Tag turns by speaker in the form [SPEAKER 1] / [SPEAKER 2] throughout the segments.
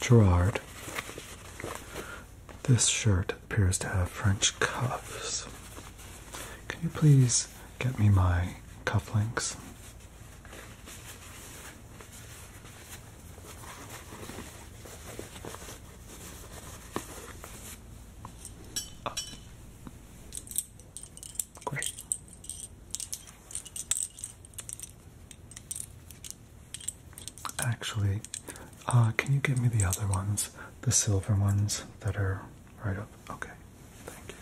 [SPEAKER 1] Gerard this shirt appears to have French cuffs. Can you please get me my cufflinks? Oh. Great. Actually, uh, can you give me the other ones? The silver ones that are right up? Okay, thank you.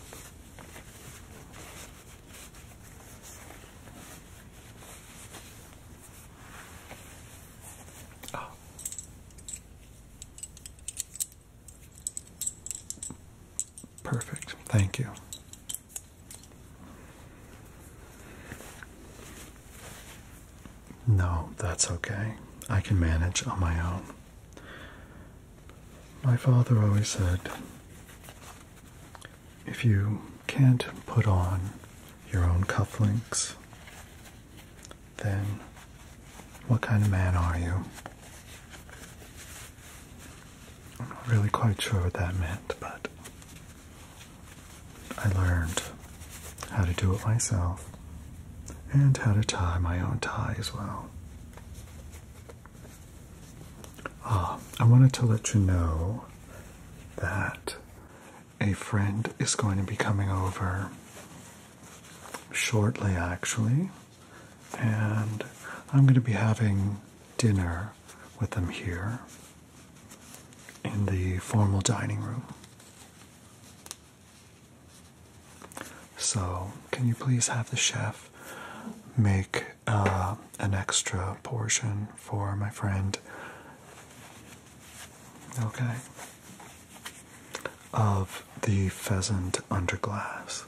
[SPEAKER 1] Perfect, thank you. No, that's okay. I can manage on my own. My father always said if you can't put on your own cufflinks, then what kind of man are you? I'm not really quite sure what that meant, but I learned how to do it myself and how to tie my own tie as well. Ah, I wanted to let you know that a friend is going to be coming over shortly, actually, and I'm going to be having dinner with them here in the formal dining room. So, can you please have the chef make uh, an extra portion for my friend? Okay. Of the pheasant under glass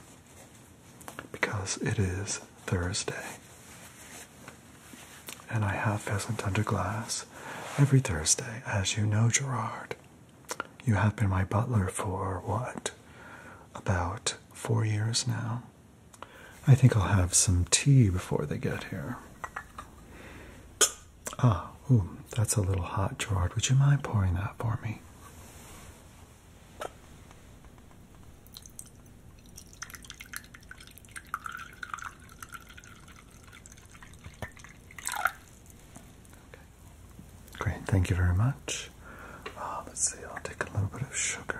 [SPEAKER 1] because it is Thursday. And I have Pheasant Under Glass every Thursday, as you know, Gerard. You have been my butler for what? About four years now. I think I'll have some tea before they get here. Ah, ooh, that's a little hot, Gerard. Would you mind pouring that for me? Great, thank you very much. Uh, let's see, I'll take a little bit of sugar.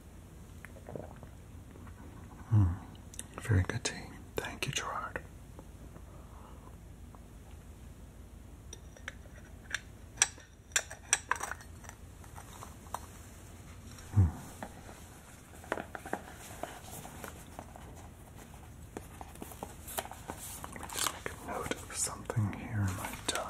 [SPEAKER 1] Hmm. very good tea. Thank you, Gerard. Hmm. Let me just make a note of something here in my diary.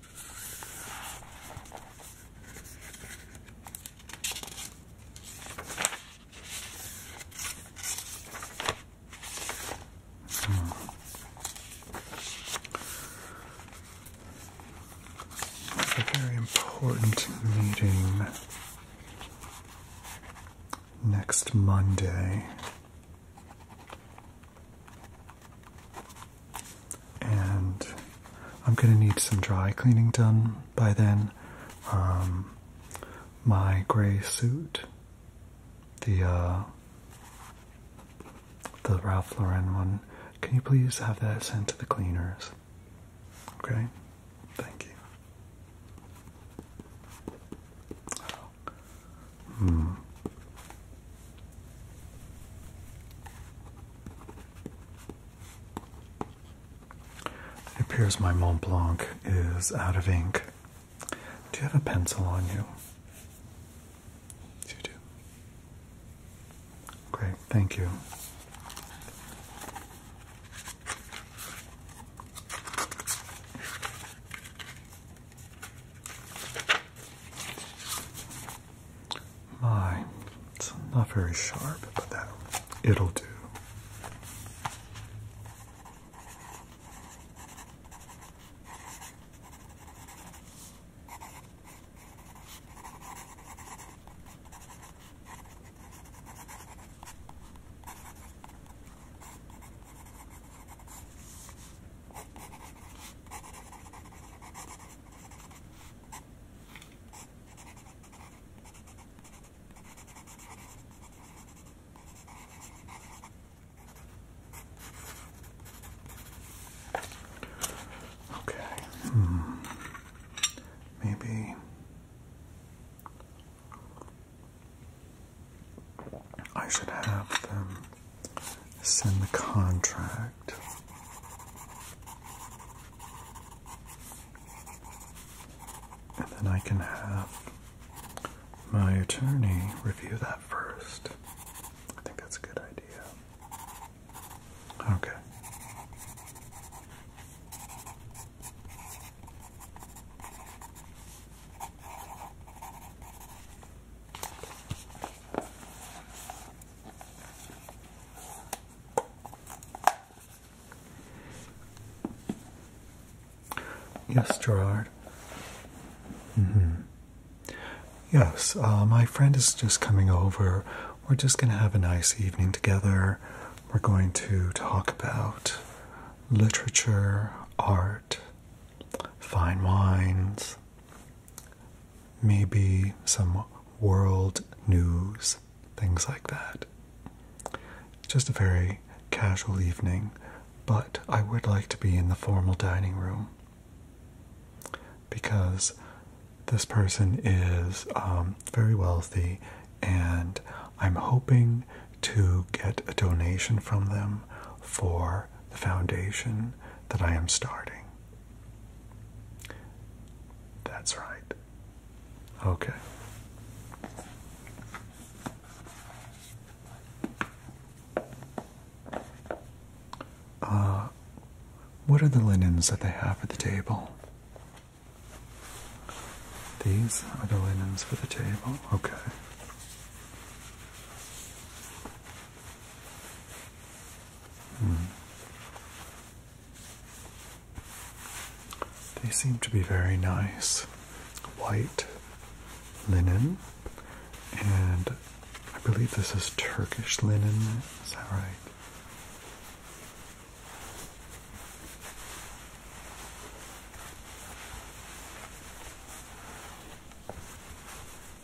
[SPEAKER 1] Hmm. It's a very important meeting next Monday and I'm gonna need some dry cleaning done by then. Um, my gray suit, the uh, the Ralph Lauren one. Can you please have that sent to the cleaners? Okay, thank you. Hmm. It appears my Mont Blanc is out of ink. Do you have a pencil on you? You do. Great, thank you. My, it's not very sharp, but that it'll do. Okay. Hmm. Maybe I should have them send the contract. And then I can have my attorney review that first. I think that's a good idea. Okay. Yes, Gerard. Mm -hmm. Yes, uh, my friend is just coming over. We're just going to have a nice evening together. We're going to talk about literature, art, fine wines, maybe some world news, things like that. Just a very casual evening, but I would like to be in the formal dining room because this person is um, very wealthy and I'm hoping to get a donation from them for the foundation that I am starting that's right. Okay. Uh, what are the linens that they have for the table? These are the linens for the table. Okay. Hmm. They seem to be very nice. White linen, and I believe this is Turkish linen, is that right?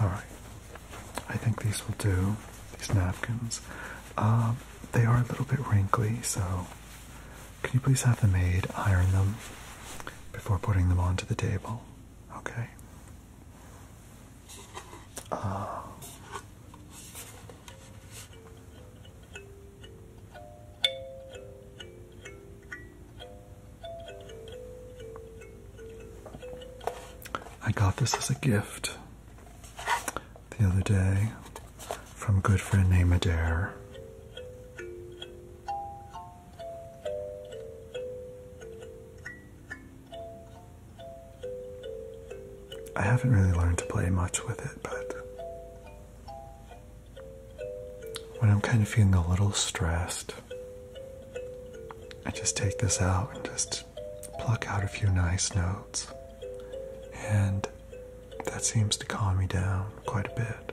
[SPEAKER 1] Alright, I think these will do, these napkins. Um, they are a little bit wrinkly, so can you please have the maid iron them before putting them onto the table? Okay. Uh, I got this as a gift the other day from good friend named Adair. I haven't really learned to play much with it, but when I'm kind of feeling a little stressed, I just take this out and just pluck out a few nice notes. And that seems to calm me down quite a bit.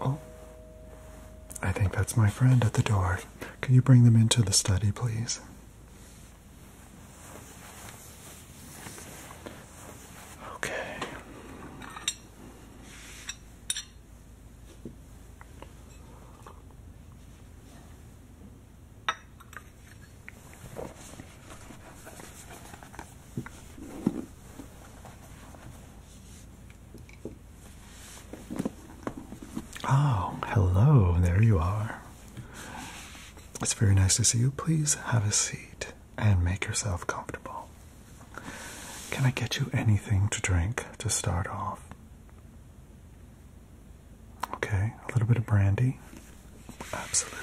[SPEAKER 1] Oh, I think that's my friend at the door. Can you bring them into the study, please? Okay. Oh, hello, there you are. It's very nice to see you. Please have a seat and make yourself comfortable. Can I get you anything to drink to start off? Okay, a little bit of brandy. Absolutely.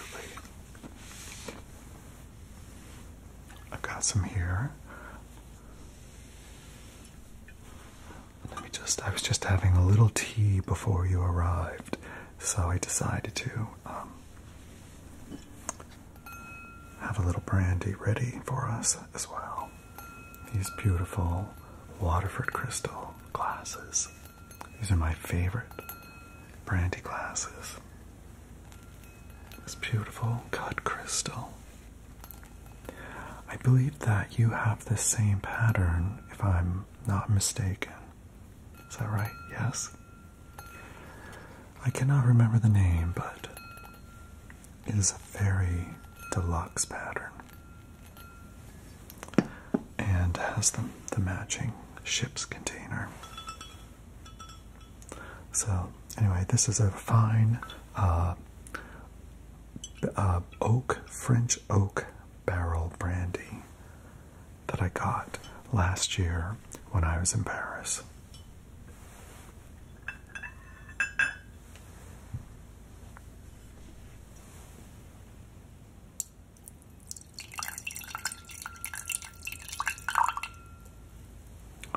[SPEAKER 1] I've got some here. Let me just, I was just having a little tea before you arrived, so I decided to um, have a little brandy ready for us as well. These beautiful Waterford crystal glasses. These are my favorite brandy glasses. This beautiful cut crystal. I believe that you have the same pattern, if I'm not mistaken. Is that right? Yes? I cannot remember the name, but it is a very deluxe pattern and has the, the matching ship's container. So anyway, this is a fine uh, uh, oak French oak barrel brandy that I got last year when I was in Paris.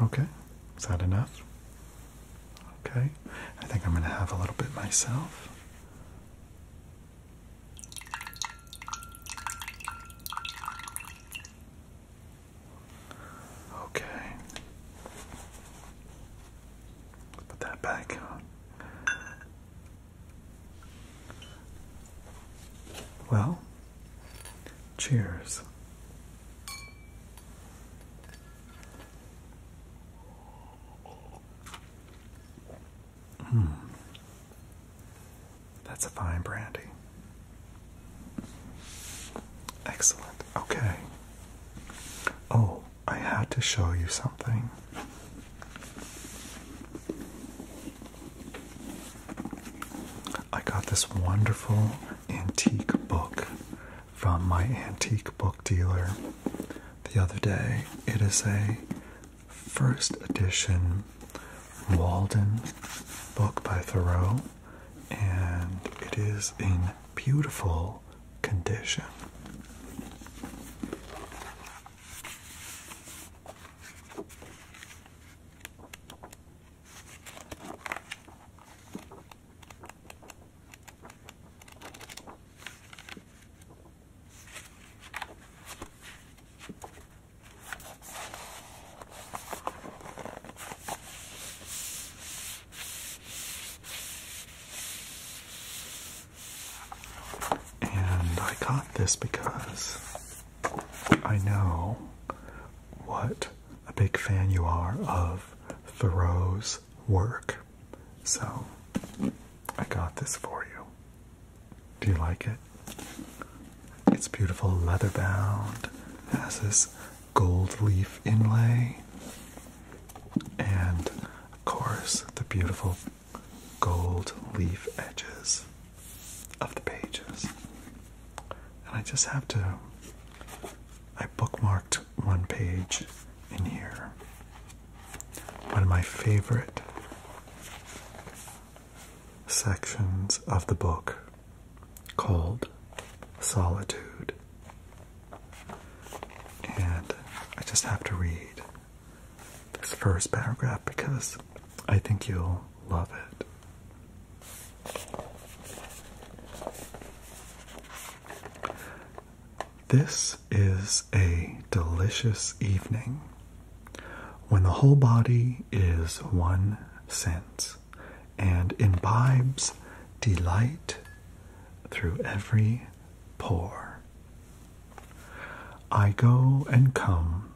[SPEAKER 1] Okay, is that enough? Okay, I think I'm going to have a little bit myself. Okay, put that back Well, Cheers. Hmm. That's a fine brandy. Excellent. Okay. Oh, I had to show you something. I got this wonderful antique book from my antique book dealer the other day. It is a first edition Walden book by Thoreau, and it is in beautiful condition. And I got this because I know what a big fan you are of Thoreau's work. So, I got this for you. Do you like it? It's beautiful leather bound, has this gold leaf inlay, and of course, the beautiful gold leaf edges of the pages. And I just have to. I bookmarked one page in here. One of my favorite sections of the book called Solitude. And I just have to read this first paragraph because I think you'll love it. This is a delicious evening when the whole body is one sense and imbibes delight through every pore. I go and come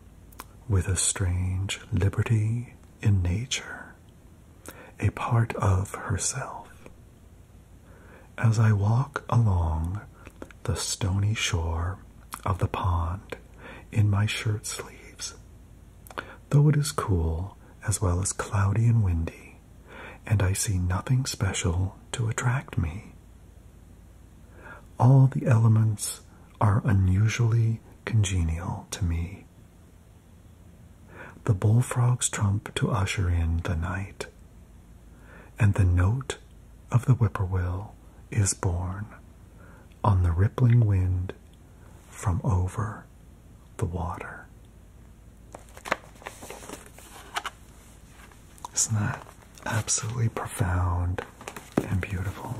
[SPEAKER 1] with a strange liberty in nature, a part of herself. As I walk along the stony shore of the pond in my shirt sleeves, though it is cool as well as cloudy and windy, and I see nothing special to attract me. All the elements are unusually congenial to me. The bullfrog's trump to usher in the night, and the note of the whippoorwill is borne on the rippling wind from over the water. Isn't that absolutely profound and beautiful?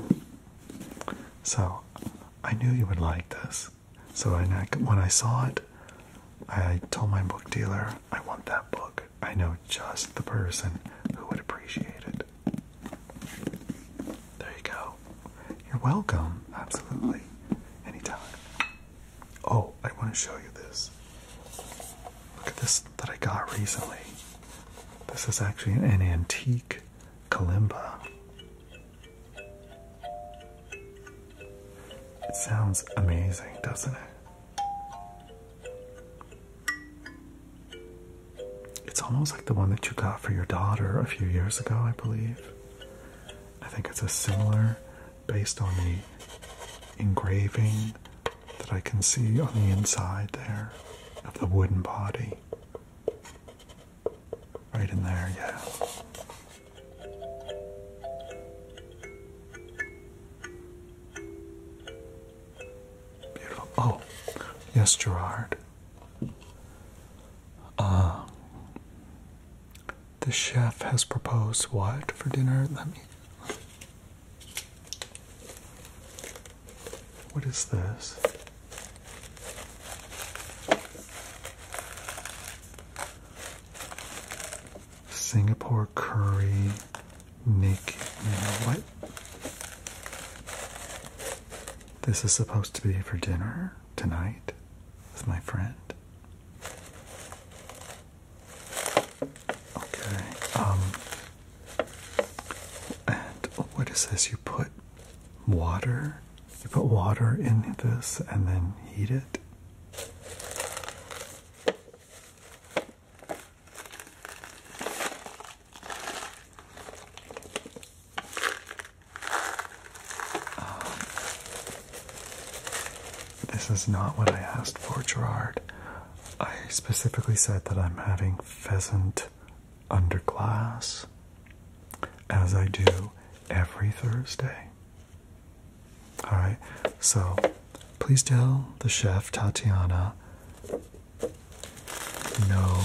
[SPEAKER 1] So I knew you would like this. So when I saw it, I told my book dealer, I want that book. I know just the person who would appreciate it. There you go. You're welcome. Absolutely. Anytime. Oh, I want to show you this. Look at this that I got recently. This is actually an antique kalimba. It sounds amazing, doesn't it? It's almost like the one that you got for your daughter a few years ago, I believe. I think it's a similar based on the engraving that I can see on the inside there of the wooden body. Right in there, yeah. Beautiful. Oh, yes, Gerard. Uh, the chef has proposed what for dinner? Let me. What is this? Singapore curry naked What? This is supposed to be for dinner tonight with my friend. Okay. Um and what is this? You put water? You put water in this and then heat it? Um, this is not what I asked for, Gerard. I specifically said that I'm having pheasant under glass as I do every Thursday. All right, so please tell the chef Tatiana no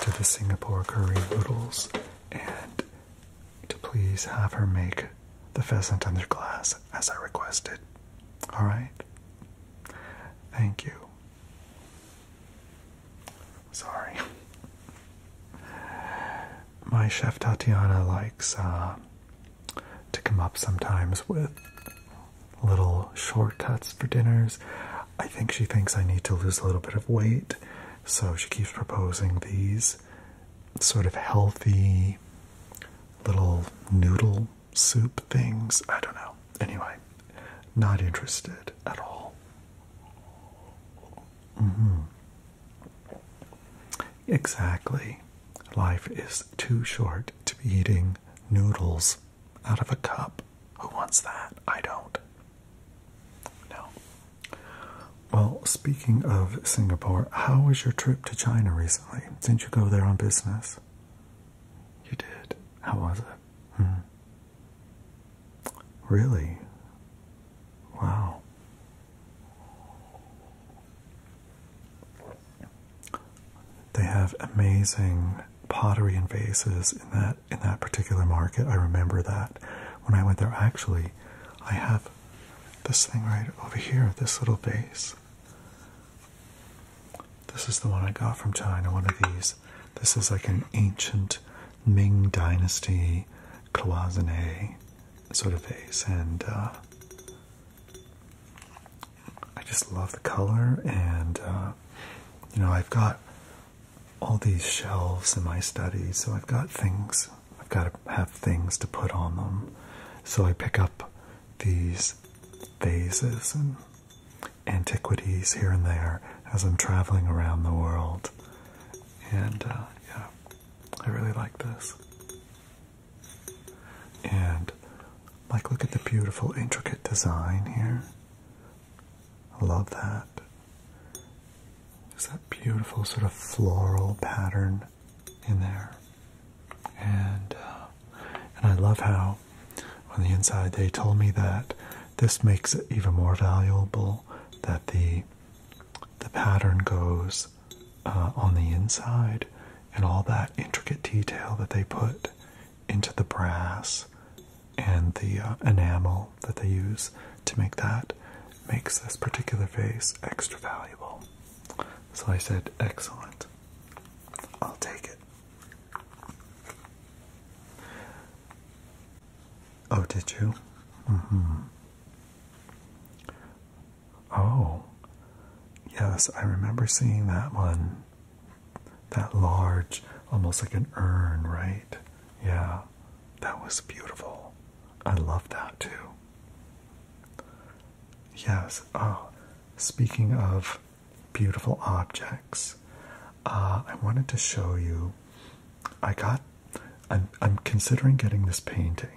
[SPEAKER 1] to the Singapore curry noodles and to please have her make the pheasant under glass as I requested. All right, thank you. Sorry. My chef Tatiana likes uh, to come up sometimes with little shortcuts for dinners. I think she thinks I need to lose a little bit of weight, so she keeps proposing these sort of healthy little noodle soup things. I don't know. Anyway, not interested at all. Mm-hmm. Exactly. Life is too short to be eating noodles out of a cup. Who wants that? I don't. No. Well, speaking of Singapore, how was your trip to China recently? Didn't you go there on business? You did. How was it? Hmm. Really? Wow. They have amazing pottery and vases in that in that particular market. I remember that when I went there. Actually, I have this thing right over here, this little vase. This is the one I got from China, one of these. This is like an ancient Ming Dynasty cloisonne sort of vase, and uh, I just love the color. And uh, you know, I've got all these shelves in my study, so I've got things. I've got to have things to put on them, so I pick up these vases and antiquities here and there as I'm traveling around the world. And uh, yeah, I really like this. And like, look at the beautiful, intricate design here. I love that. Is that beautiful sort of floral pattern in there. And. Uh, and I love how on the inside they told me that this makes it even more valuable that the the pattern goes uh, on the inside and all that intricate detail that they put into the brass and the uh, enamel that they use to make that makes this particular vase extra valuable. So I said, excellent. I'll take it. Oh, did you? Mm-hmm. Oh, yes, I remember seeing that one. That large, almost like an urn, right? Yeah, that was beautiful. I love that too. Yes, oh, speaking of beautiful objects. Uh, I wanted to show you. I got. I'm, I'm considering getting this painting,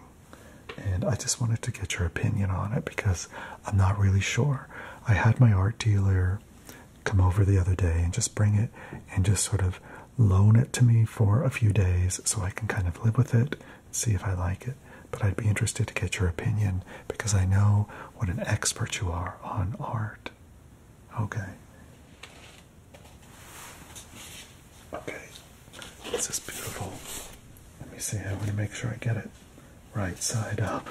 [SPEAKER 1] and I just wanted to get your opinion on it because I'm not really sure. I had my art dealer come over the other day and just bring it and just sort of loan it to me for a few days so I can kind of live with it see if I like it. But I'd be interested to get your opinion because I know what an expert you are on art. Okay. Okay. This is beautiful. Let me see. I want to make sure I get it right side up.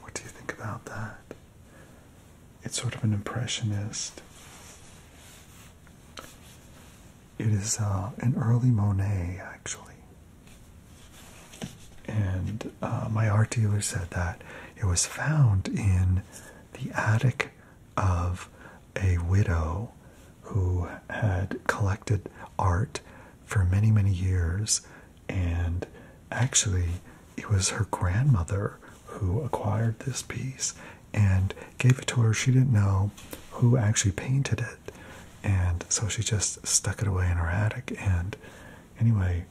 [SPEAKER 1] What do you think about that? It's sort of an impressionist. It is uh, an early Monet, actually. And uh, my art dealer said that it was found in the attic of a widow who had collected art for many, many years. And actually, it was her grandmother who acquired this piece and gave it to her. She didn't know who actually painted it and so she just stuck it away in her attic. And anyway,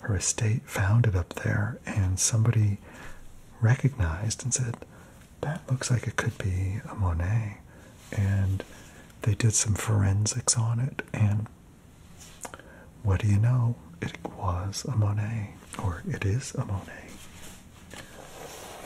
[SPEAKER 1] her estate found it up there, and somebody recognized and said, That looks like it could be a Monet. And they did some forensics on it, and what do you know? It was a Monet, or it is a Monet.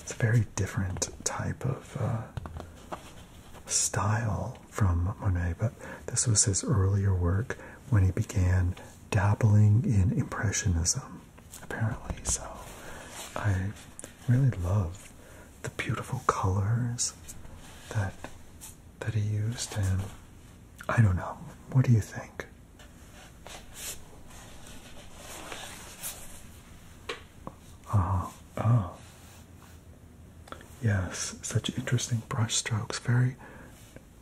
[SPEAKER 1] It's a very different type of uh, style from Monet, but this was his earlier work when he began dabbling in Impressionism, apparently. So I really love the beautiful colors that that he used and I don't know. What do you think? Ah, uh Yes, such interesting brushstrokes, Very,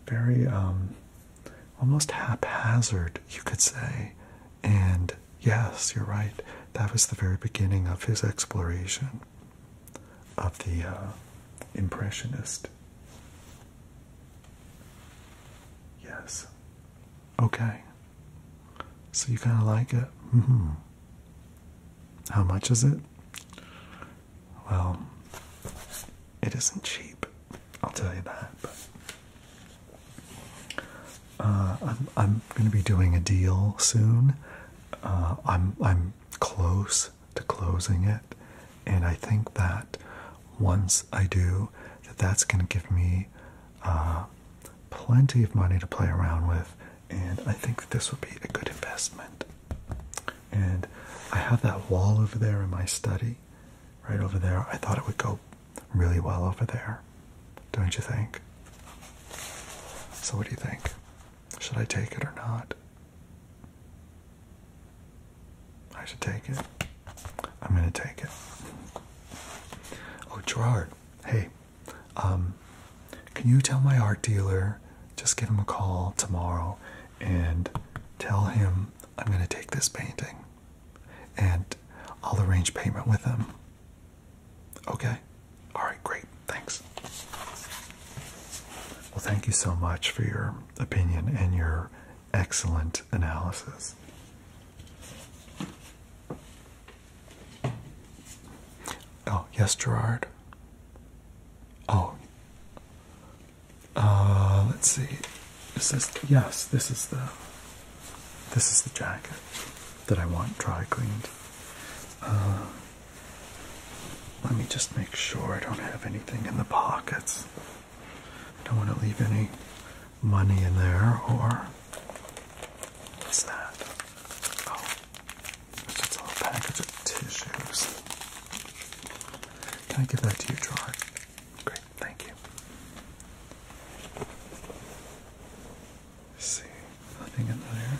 [SPEAKER 1] very um, almost haphazard, you could say. And yes, you're right. That was the very beginning of his exploration of the uh, Impressionist Yes. Okay. So you kind of like it? Mm-hmm. How much is it? Well, it isn't cheap. I'll tell you that. Uh, I'm I'm going to be doing a deal soon. Uh, I'm I'm close to closing it. And I think that once I do, that that's going to give me uh, plenty of money to play around with. And I think that this would be a good investment. And I have that wall over there in my study, right over there. I thought it would go really well over there, don't you think? So, what do you think? Should I take it or not? I should take it. I'm gonna take it. Oh, Gerard, hey, um, can you tell my art dealer? Just give him a call tomorrow and tell him I'm gonna take this painting and I'll arrange payment with him. Okay? Alright, great. Thanks. Well, thank you so much for your opinion and your excellent analysis. Oh, yes, Gerard. Oh. Uh, let's see. Is yes, this is the this is the jacket that I want dry cleaned. Uh, let me just make sure I don't have anything in the pockets. Don't want to leave any money in there or what's that? Oh, it's just a package of tissues. Can I give that to you, Gerard? Great, thank you. see, nothing in there.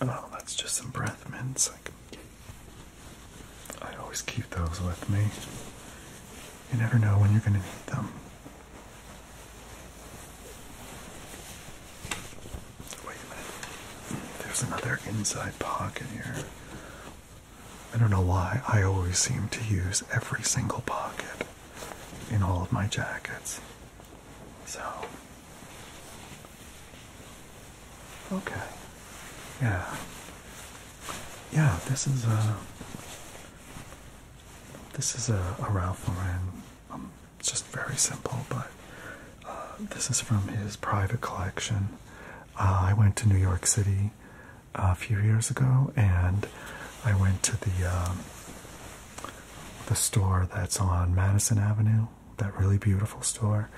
[SPEAKER 1] Oh, that's just some breath mints. Like I always keep those with me. You never know when you're going to need them. Wait a minute. There's another inside pocket here. I don't know why I always seem to use every single pocket in all of my jackets. So, okay. Yeah. Yeah, this is a. Uh, this is a, a Ralph Lauren. Um, it's just very simple, but uh, this is from his private collection. Uh, I went to New York City uh, a few years ago, and I went to the um, the store that's on Madison Avenue, that really beautiful store,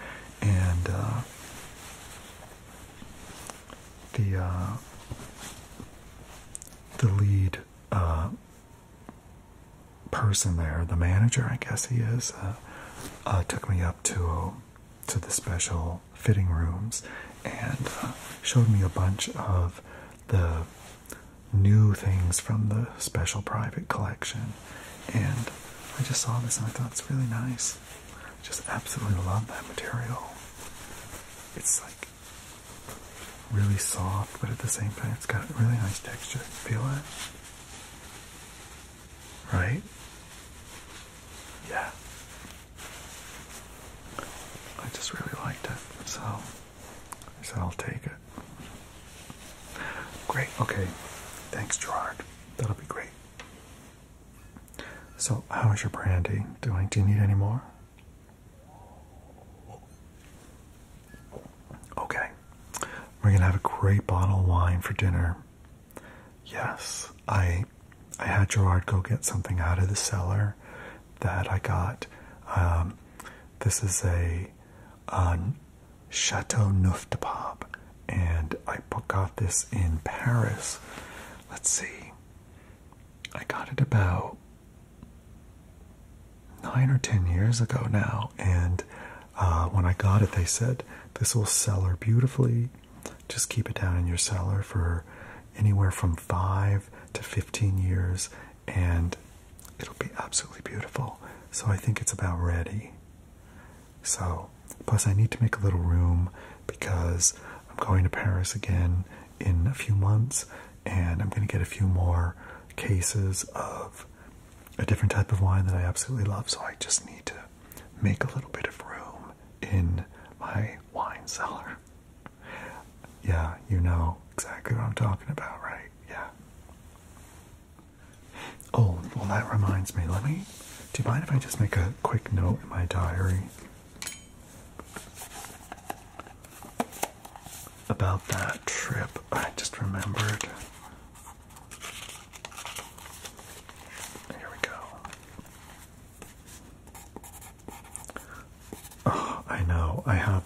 [SPEAKER 1] and uh, the uh, the lead uh, person there, the manager, I guess he is, took me up to to the special fitting rooms and showed me a bunch of the new things from the special private collection. And I just saw this and I thought it's really nice. just absolutely love that material. It's like really soft, but at the same time, it's got a really nice texture. Feel it? Right? Yeah. I just really liked it. So. I said, I'll take it. Great, okay. Thanks, Gerard. That'll be great. So, how is your brandy doing? Do you need any more? Okay. We're gonna have a great bottle of wine for dinner. Yes, I I had Gerard go get something out of the cellar that I got. Um, this is a on Chateau Neuf de Pape, and I got this in Paris. Let's see, I got it about nine or ten years ago now, and uh, when I got it, they said this will cellar beautifully. Just keep it down in your cellar for anywhere from five to 15 years and it'll be absolutely beautiful. So I think it's about ready. So, plus, I need to make a little room because I'm going to Paris again in a few months and I'm going to get a few more cases of a different type of wine that I absolutely love. So, I just need to make a little bit of room in my wine cellar. Yeah, you know exactly what I'm talking about, right? Yeah. Oh, well, that reminds me. Let me. Do you mind if I just make a quick note in my diary about that trip? I just remembered. Here we go. Oh, I know. I have.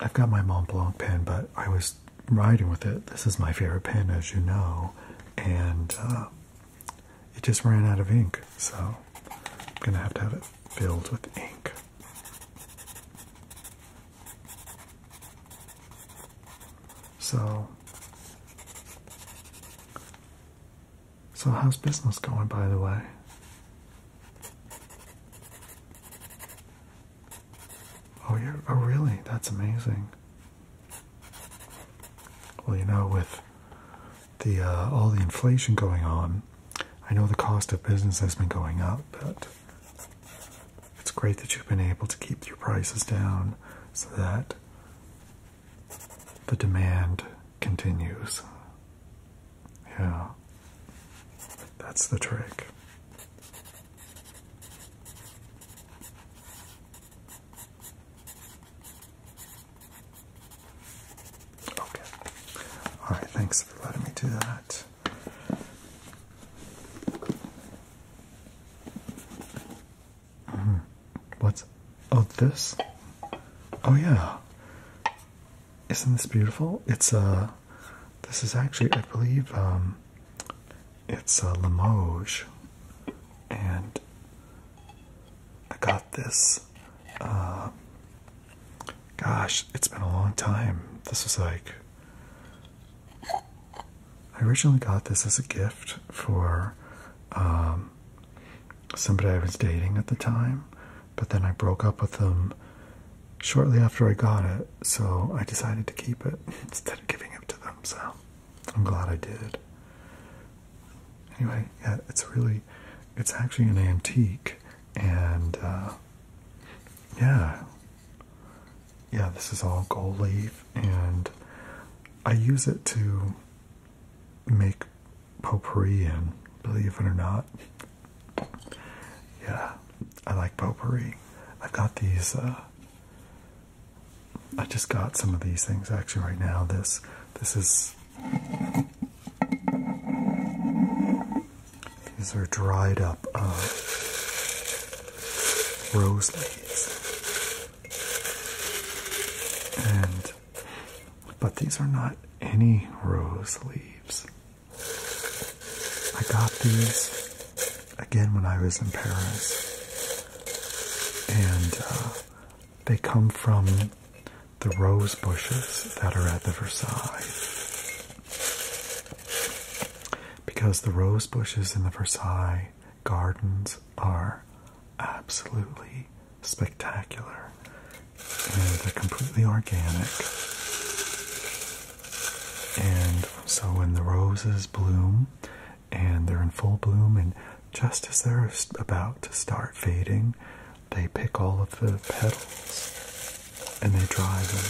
[SPEAKER 1] I've got my Montblanc pen, but I was writing with it. This is my favorite pen, as you know, and uh, it just ran out of ink, so I'm gonna have to have it filled with ink. So, so how's business going, by the way? Oh, you oh really? That's amazing. Well, you know, with the uh, all the inflation going on, I know the cost of business has been going up, but it's great that you've been able to keep your prices down so that the demand continues. Yeah. That's the trick. Okay. All right, thanks for letting me do that. Mm-hmm. What's oh this? Oh yeah. Isn't this beautiful? It's a uh, this is actually, I believe, um, it's a Limoges, and I got this. Uh, gosh, it's been a long time. This is like I originally got this as a gift for um, somebody I was dating at the time, but then I broke up with them shortly after I got it, so I decided to keep it instead of giving it to them. So I'm glad I did. Anyway, yeah, it's really, it's actually an antique, and uh, yeah, yeah, this is all gold leaf, and I use it to make potpourri and believe it or not yeah, I like potpourri. I've got these. Uh, I just got some of these things actually right now. This this is these are dried up uh, rose leaves, and but these are not any rose leaves. I got these again when I was in Paris, and uh, they come from the rose bushes that are at the Versailles. Because the rose bushes in the Versailles gardens are absolutely spectacular. And they're completely organic. And so when the roses bloom and they're in full bloom, and just as they're about to start fading, they pick all of the petals and they dry them,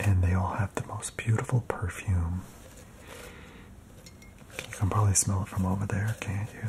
[SPEAKER 1] and they all have the most beautiful perfume. You can probably smell it from over there, can't you?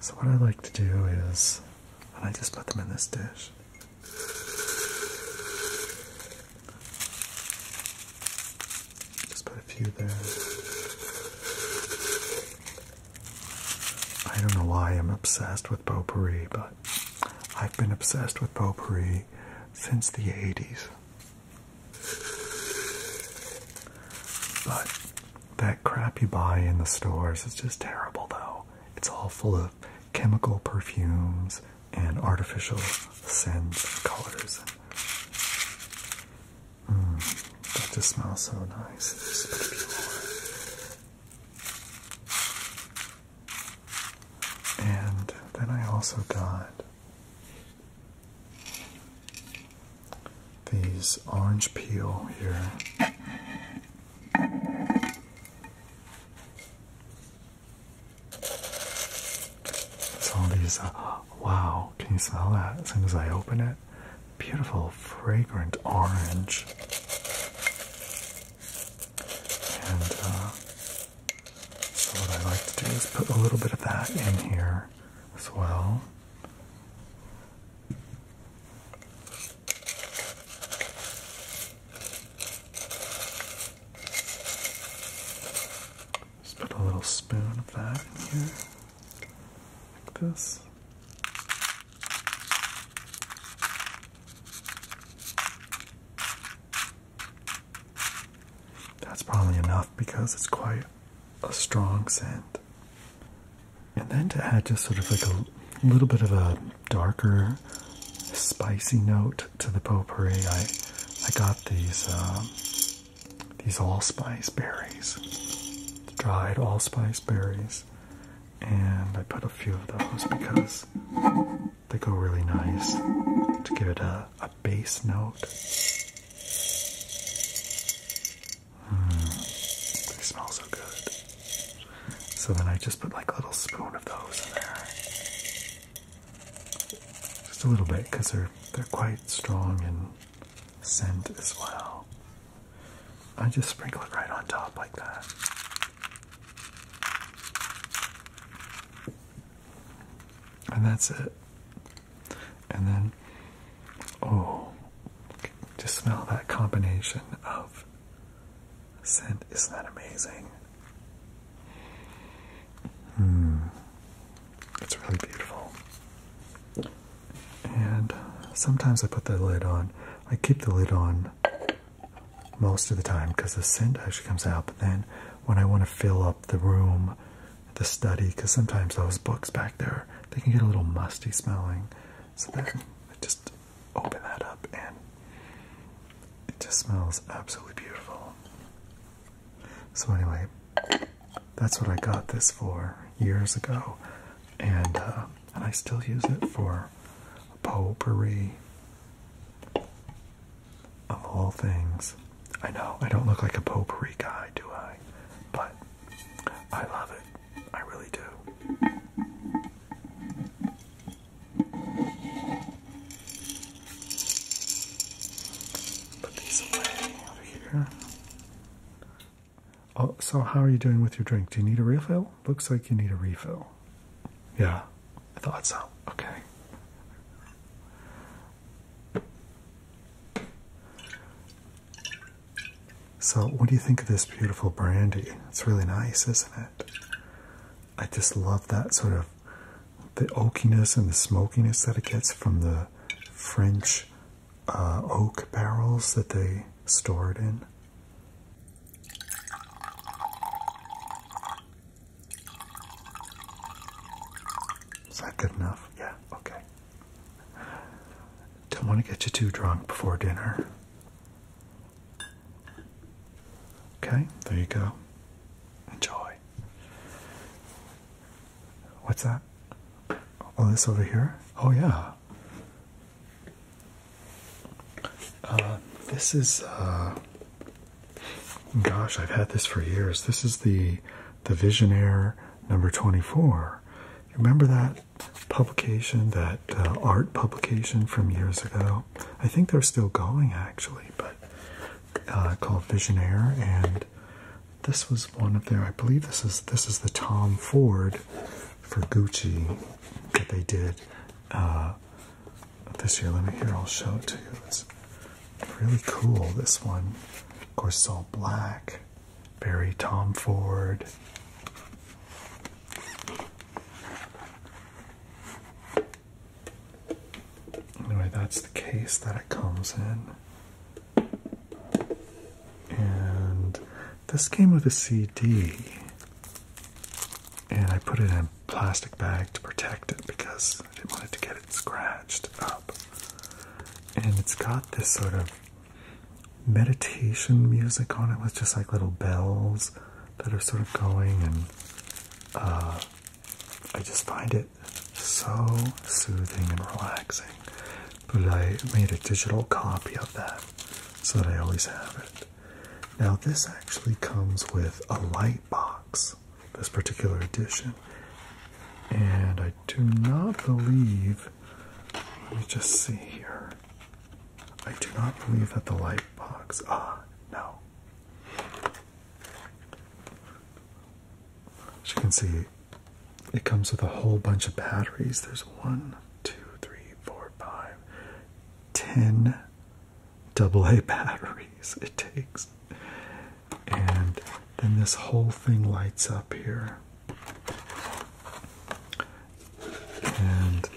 [SPEAKER 1] So what I like to do is, I just put them in this dish. Just put a few there. I don't know why I'm obsessed with potpourri, but I've been obsessed with potpourri since the 80s. But that crap you buy in the stores is just terrible, though. It's all full of chemical perfumes and artificial scents and colors. Mm, that just smells so nice. And then I also got these orange peel here. It's all these, uh, wow, can you smell that as soon as I open it? Beautiful, fragrant orange. And uh, so, what I like to do is put a little bit of that in here as well. Just put a little spoon of that in here, like this. That's probably enough because it's quite a strong scent. And then to add just sort of like a little bit of a darker, spicy note to the potpourri, I I got these uh, these allspice berries, dried allspice berries, and I put a few of those because they go really nice to give it a base note they smell so good. So then I just put like a little spoon of those in there. Just a little bit because they're they're quite strong in scent as well. I just sprinkle it right on top like that. And that's it. And then, oh, just smell that combination of scent. Isn't that amazing? Hmm. It's really beautiful. And sometimes I put the lid on. I keep the lid on most of the time because the scent actually comes out. But then when I want to fill up the room the study because sometimes those books back there they can get a little musty smelling. So then I just open that up and it just smells absolutely beautiful. So anyway, that's what I got this for years ago, and uh, and I still use it for potpourri of all things. I know I don't look like a potpourri guy, do I? But I love it. I really do. Put these away here. Oh, so how are you doing with your drink? Do you need a refill? Looks like you need a refill. Yeah, I thought so. Okay. So, what do you think of this beautiful brandy? It's really nice, isn't it? I just love that sort of the oakiness and the smokiness that it gets from the French uh, oak barrels that they store it in. Is that good enough? Yeah, okay. Don't want to get you too drunk before dinner. Okay, there you go. Enjoy. What's that? All oh, this over here? Oh, yeah. Uh, this is, uh, gosh, I've had this for years. This is the the Visionaire number 24. Remember that publication, that uh, art publication from years ago? I think they're still going actually, but uh, called Visionaire. And this was one of their, I believe this is, this is the Tom Ford for Gucci that they did uh, this year. Let me here, I'll show it to you. It's really cool, this one. Of course, it's all black. Barry Tom Ford. Anyway, that's the case that it comes in. And this came with a CD. And I put it in a plastic bag to protect it because I didn't want it to get scratched up. And it's got this sort of meditation music on it with just like little bells that are sort of going, and uh, I just find it so soothing and relaxing. But I made a digital copy of that so that I always have it. Now, this actually comes with a light box, this particular edition, and I do not believe. Let me just see here. I do not believe that the light box. Ah, no. As you can see, it comes with a whole bunch of batteries. There's one, two, three, four, five, ten double A batteries. It takes and then this whole thing lights up here. And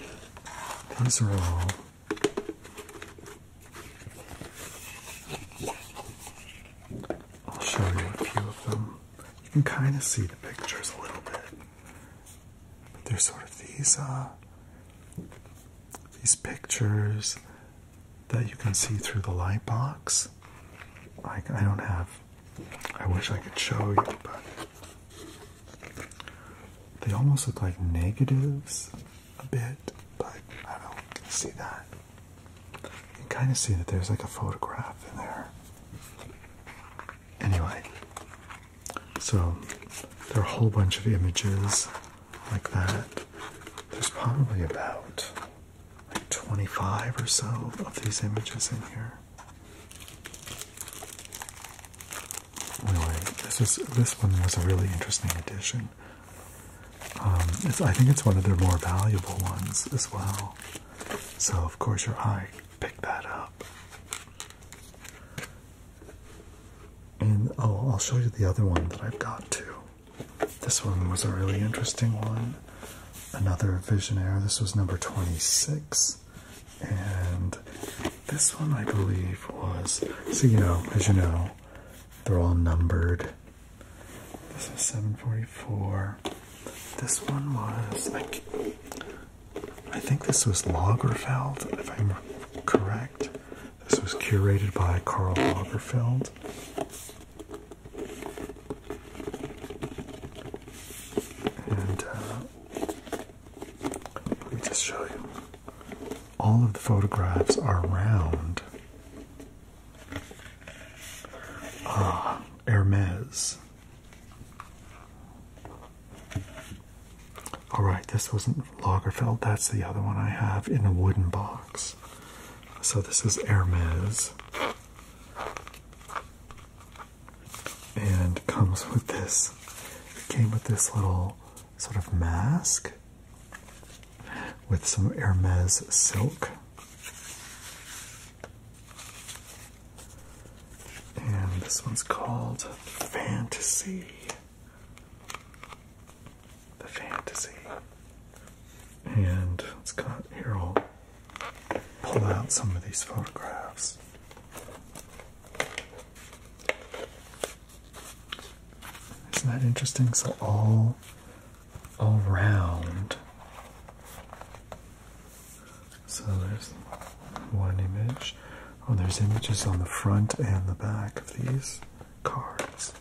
[SPEAKER 1] these are all I'll show you a few of them. You can kind of see the pictures a little bit. But they're sort of these uh these pictures that you can see through the light box. Like I don't have I wish I could show you, but they almost look like negatives a bit, but I don't see that. You can kind of see that there's like a photograph in there. Anyway, so there are a whole bunch of images like that. There's probably about like 25 or so of these images in here. Really, this is this one was a really interesting addition. Um, I think it's one of their more valuable ones as well. So of course your eye picked that up. And oh, I'll show you the other one that I've got too. This one was a really interesting one. Another Visionaire. This was number 26. And this one, I believe, was. So, you know, as you know, they're all numbered. This is 744. This one was. Like, I think this was Lagerfeld, if I'm correct. This was curated by Karl Lagerfeld. Uh, let me just show you. All of the photographs are round. Ah, Hermes. All right, this wasn't Lagerfeld. That's the other one I have in a wooden box. So this is Hermes and comes with this it came with this little sort of mask with some Hermes silk and this one's called Fantasy the Fantasy and it's got here all pull out some of these photographs. Isn't that interesting? So all all around. So there's one image. Oh, there's images on the front and the back of these cards.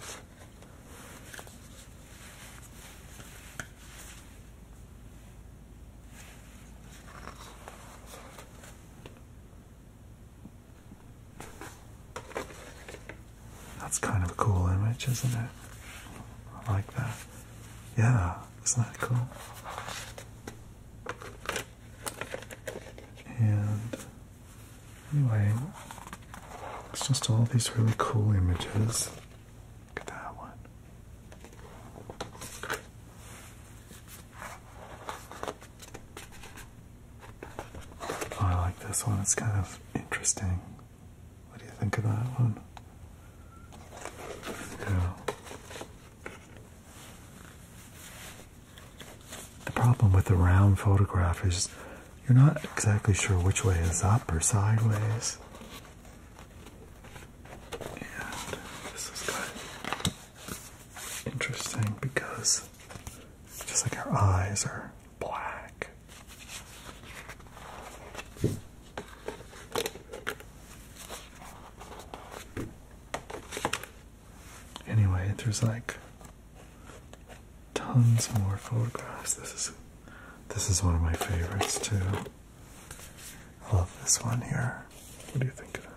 [SPEAKER 1] That's kind of a cool image, isn't it? I like that. Yeah, isn't that cool? And anyway, it's just all these really cool images Look at that one. Oh, I like this one, it's kind of interesting. What do you think of that one? The problem with the round photograph is you're not exactly sure which way is up or sideways. And this is kind of interesting because just like our eyes are black. Anyway, there's like tons more photographs. This is this is one of my favorites too. I love this one here. What do you think of that?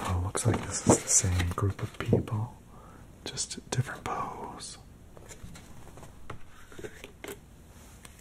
[SPEAKER 1] Oh, looks like this is the same group of people, just different pose.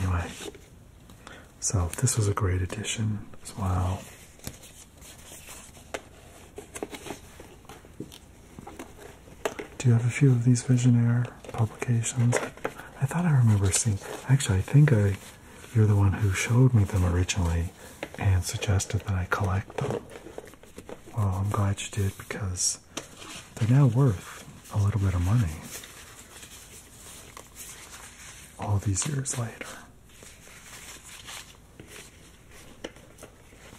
[SPEAKER 1] Anyway, so this was a great addition as well. Do you have a few of these Visionaire publications? I thought I remember seeing. Actually, I think I you're the one who showed me them originally and suggested that I collect them. Well, I'm glad you did because they're now worth a little bit of money all these years later.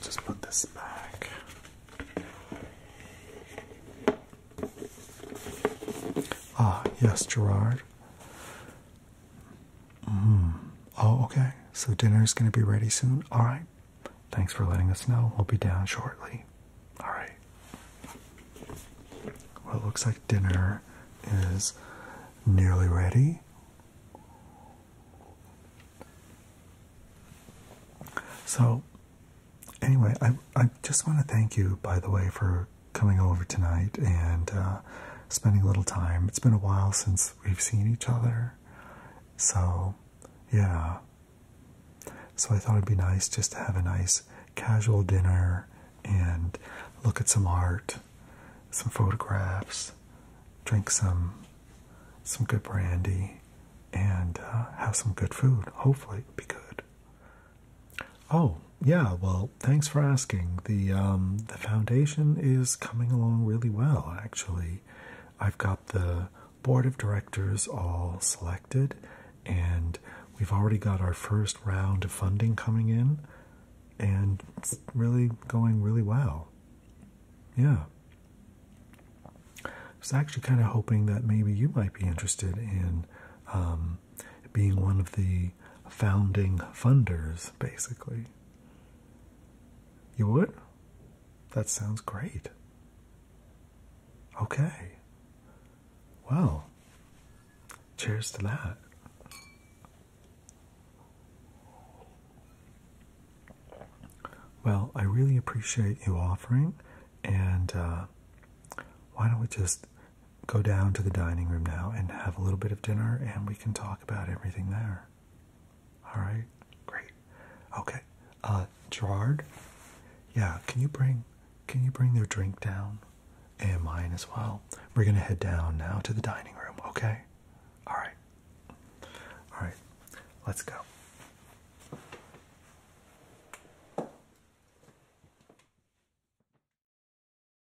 [SPEAKER 1] Just put this back. Ah, yes, Gerard. Mm-hmm. Oh, okay. So dinner is going to be ready soon. All right. Thanks for letting us know. We'll be down shortly. All right. Well, it looks like dinner is nearly ready. So, anyway, I, I just want to thank you, by the way, for coming over tonight and uh, spending a little time. It's been a while since we've seen each other. So, yeah. So I thought it'd be nice just to have a nice casual dinner and look at some art, some photographs, drink some some good brandy and uh, have some good food. Hopefully, it'd be good. Oh, yeah, well, thanks for asking. The um, the foundation is coming along really well, actually. I've got the board of directors all selected, and we've already got our first round of funding coming in, and it's really going really well. Yeah. I was actually kind of hoping that maybe you might be interested in um, being one of the founding funders, basically. You would? That sounds great. Okay. Well, cheers to that. Well, I really appreciate you offering, and uh, why don't we just go down to the dining room now and have a little bit of dinner and we can talk about everything there. All right? Great. Okay. Uh Gerard, yeah, can you bring can you bring their drink down and mine as well? We're going to head down now to the dining room, okay? All right. All right. Let's go.